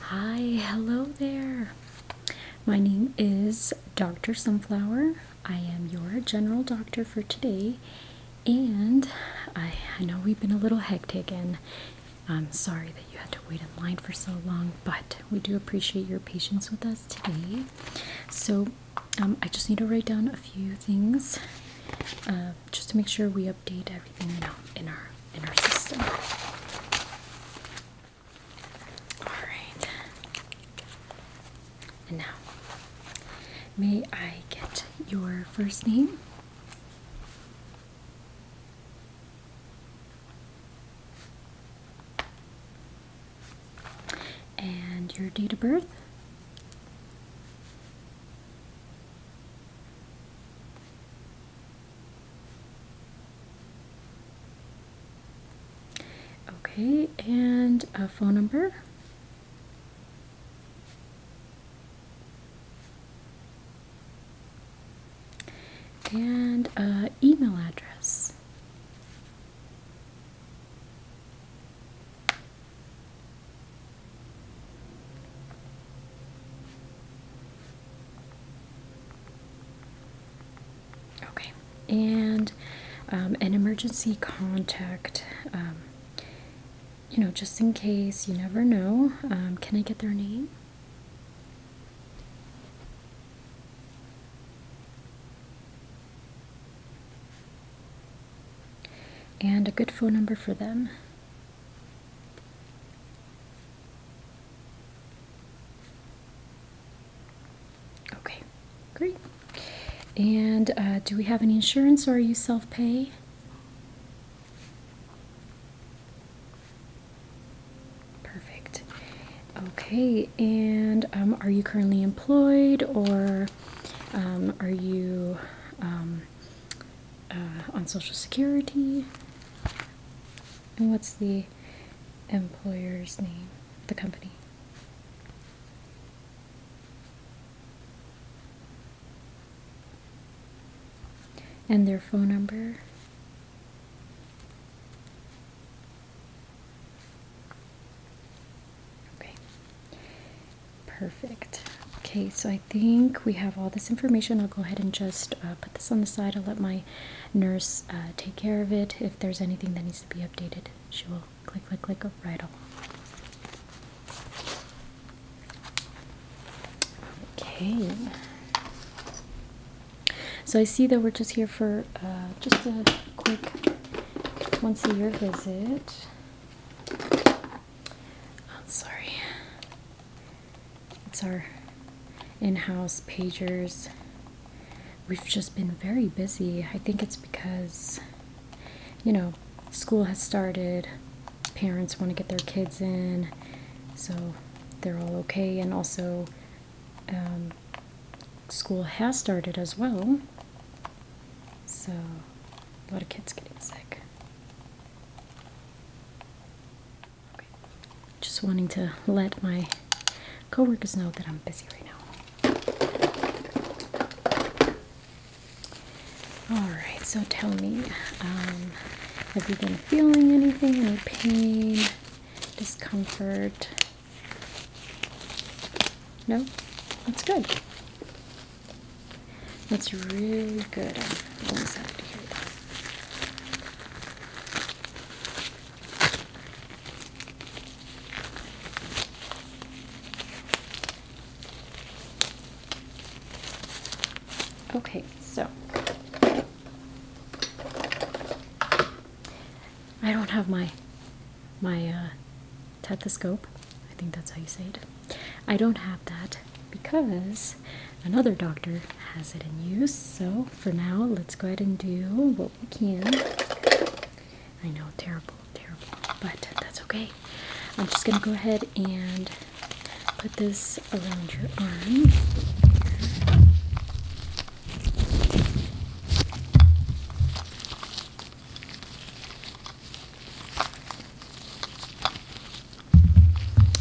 Hi, hello there. My name is Dr. Sunflower. I am your general doctor for today, and I, know we've been a little hectic, and I'm sorry that you had to wait in line for so long, but we do appreciate your patience with us today. So, um, I just need to write down a few things uh, just to make sure we update everything you in our in our system. Alright. And now may I get your first name? And your date of birth? Okay, and a phone number. And a uh, email address. Okay, and um, an emergency contact, um, you know, just in case, you never know. Um, can I get their name? And a good phone number for them. Okay, great. And uh, do we have any insurance or are you self pay? Perfect. Okay, and um, are you currently employed or um, are you um, uh, on Social Security. And what's the employer's name? The company. And their phone number. Okay. Perfect. Okay, so I think we have all this information. I'll go ahead and just uh, put this on the side. I'll let my nurse uh, take care of it. If there's anything that needs to be updated, she will click, click, click right along. Okay. So I see that we're just here for uh, just a quick once a year visit. I'm sorry. It's our in-house pagers. We've just been very busy. I think it's because you know, school has started. Parents want to get their kids in, so they're all okay. And also, um, school has started as well. So, a lot of kids getting sick. Just wanting to let my coworkers know that I'm busy right now. Alright, so tell me, um, have you been feeling anything? Any pain? Discomfort? No? That's good. That's really good. I'm always happy to hear that. Okay, so I don't have my my uh, Tethoscope. I think that's how you say it. I don't have that because another doctor has it in use. So for now, let's go ahead and do what we can. I know, terrible, terrible, but that's okay. I'm just gonna go ahead and put this around your arm.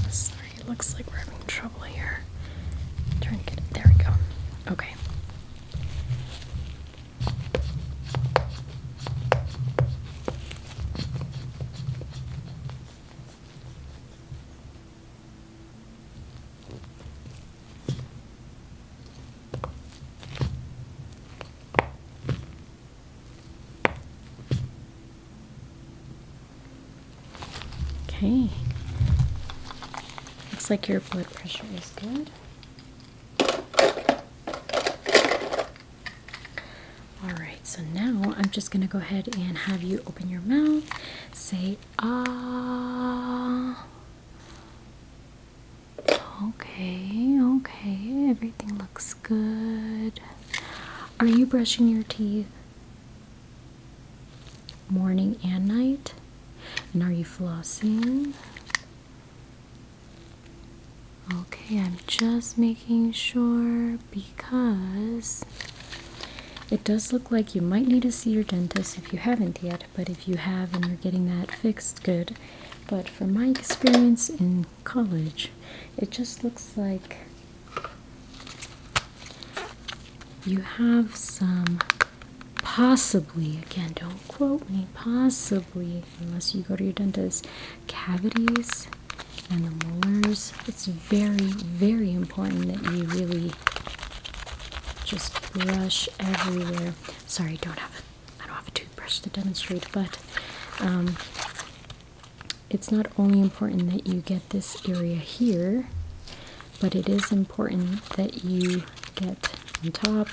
Sorry, it looks like we're having trouble here. There we go. Okay. Okay. Looks like your blood pressure is good. All right, so now I'm just going to go ahead and have you open your mouth, say ah. Okay, okay, everything looks good. Are you brushing your teeth morning and night? And are you flossing? Okay, I'm just making sure because it does look like you might need to see your dentist if you haven't yet but if you have and you're getting that fixed, good. But from my experience in college, it just looks like you have some possibly, again, don't quote me, possibly, unless you go to your dentist, cavities and the molars. It's very, very important that you really just brush everywhere. Sorry, don't have a, I don't have a toothbrush to demonstrate, but um, it's not only important that you get this area here, but it is important that you get on top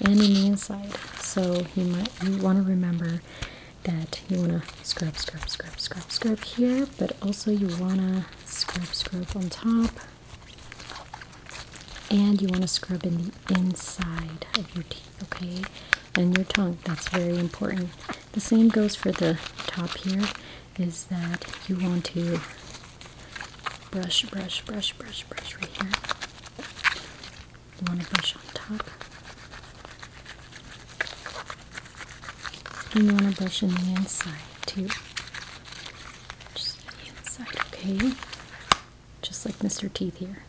and in the inside. So you might you want to remember that you want to scrub, scrub, scrub, scrub, scrub here, but also you want to scrub, scrub on top and you want to scrub in the inside of your teeth okay and your tongue that's very important the same goes for the top here is that you want to brush brush brush brush brush right here you want to brush on top and you want to brush in the inside too just the inside, okay? Just like Mr. Teeth here.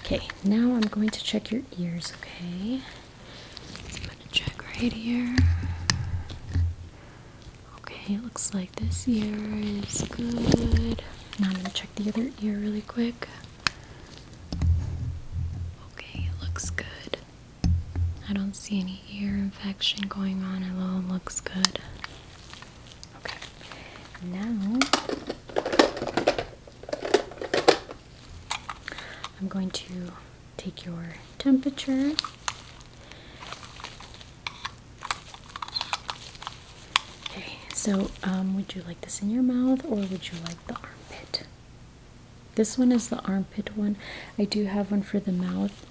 Okay, now I'm going to check your ears, okay? I'm gonna check right here. Okay, it looks like this ear is good. Now I'm gonna check the other ear really quick. Okay, it looks good. I don't see any ear infection going on, it all looks good. Okay, now I'm going to take your temperature. Okay, so um, would you like this in your mouth or would you like the armpit? This one is the armpit one. I do have one for the mouth.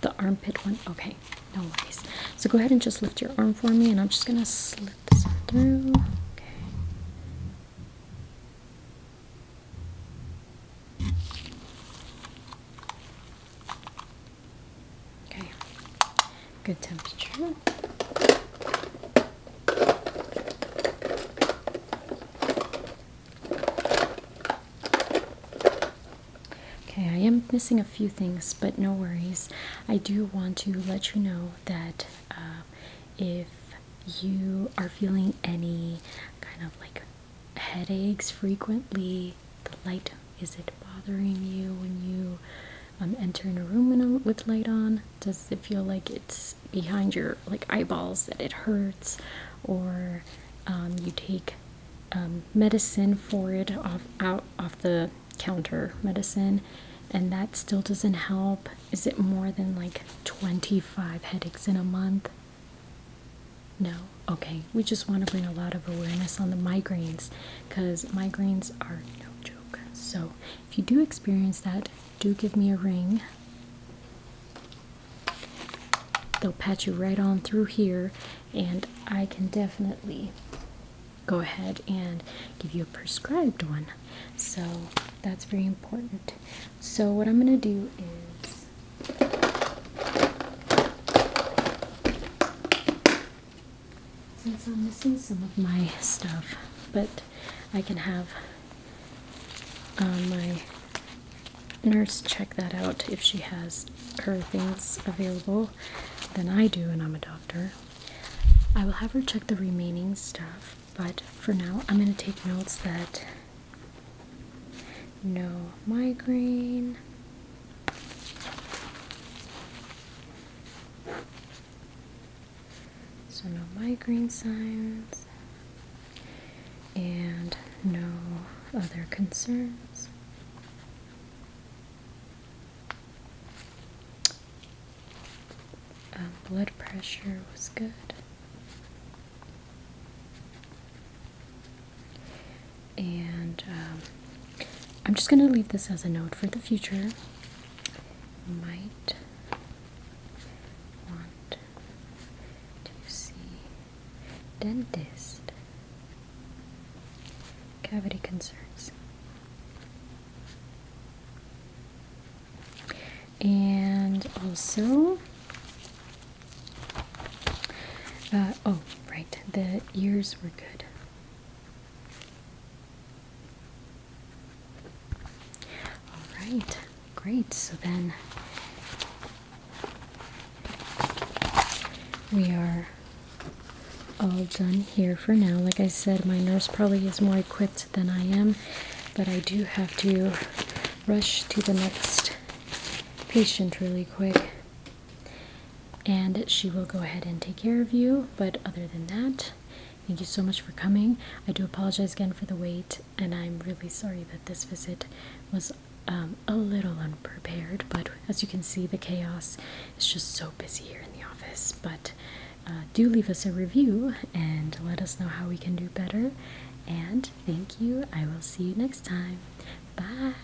The armpit one. Okay, no worries. So go ahead and just lift your arm for me, and I'm just gonna slip this through. Okay. Okay. Good temperature. Okay, I am missing a few things, but no worries. I do want to let you know that uh, if you are feeling any kind of like headaches frequently, the light is it bothering you when you um, entering a room with light on? Does it feel like it's behind your like eyeballs that it hurts, or um, you take um, medicine for it off out off the counter medicine, and that still doesn't help? Is it more than like 25 headaches in a month? No. Okay, we just want to bring a lot of awareness on the migraines because migraines are no joke. So, if you do experience that, do give me a ring. They'll patch you right on through here, and I can definitely go ahead and give you a prescribed one. So that's very important. So, what I'm going to do is since I'm missing some of my stuff, but I can have um, my nurse check that out if she has her things available than I do, and I'm a doctor. I will have her check the remaining stuff, but for now, I'm going to take notes that no migraine. So no migraine signs and no other concerns. Um, blood pressure was good. And um, I'm just going to leave this as a note for the future. might want to see dentist cavity concerns. And also, uh, oh, right, the ears were good. Alright, great. So then we are all done here for now. Like I said, my nurse probably is more equipped than I am, but I do have to rush to the next patient really quick and she will go ahead and take care of you. But other than that, thank you so much for coming. I do apologize again for the wait, and I'm really sorry that this visit was um, a little unprepared. But as you can see, the chaos is just so busy here in the office. But uh, do leave us a review and let us know how we can do better. And thank you. I will see you next time. Bye.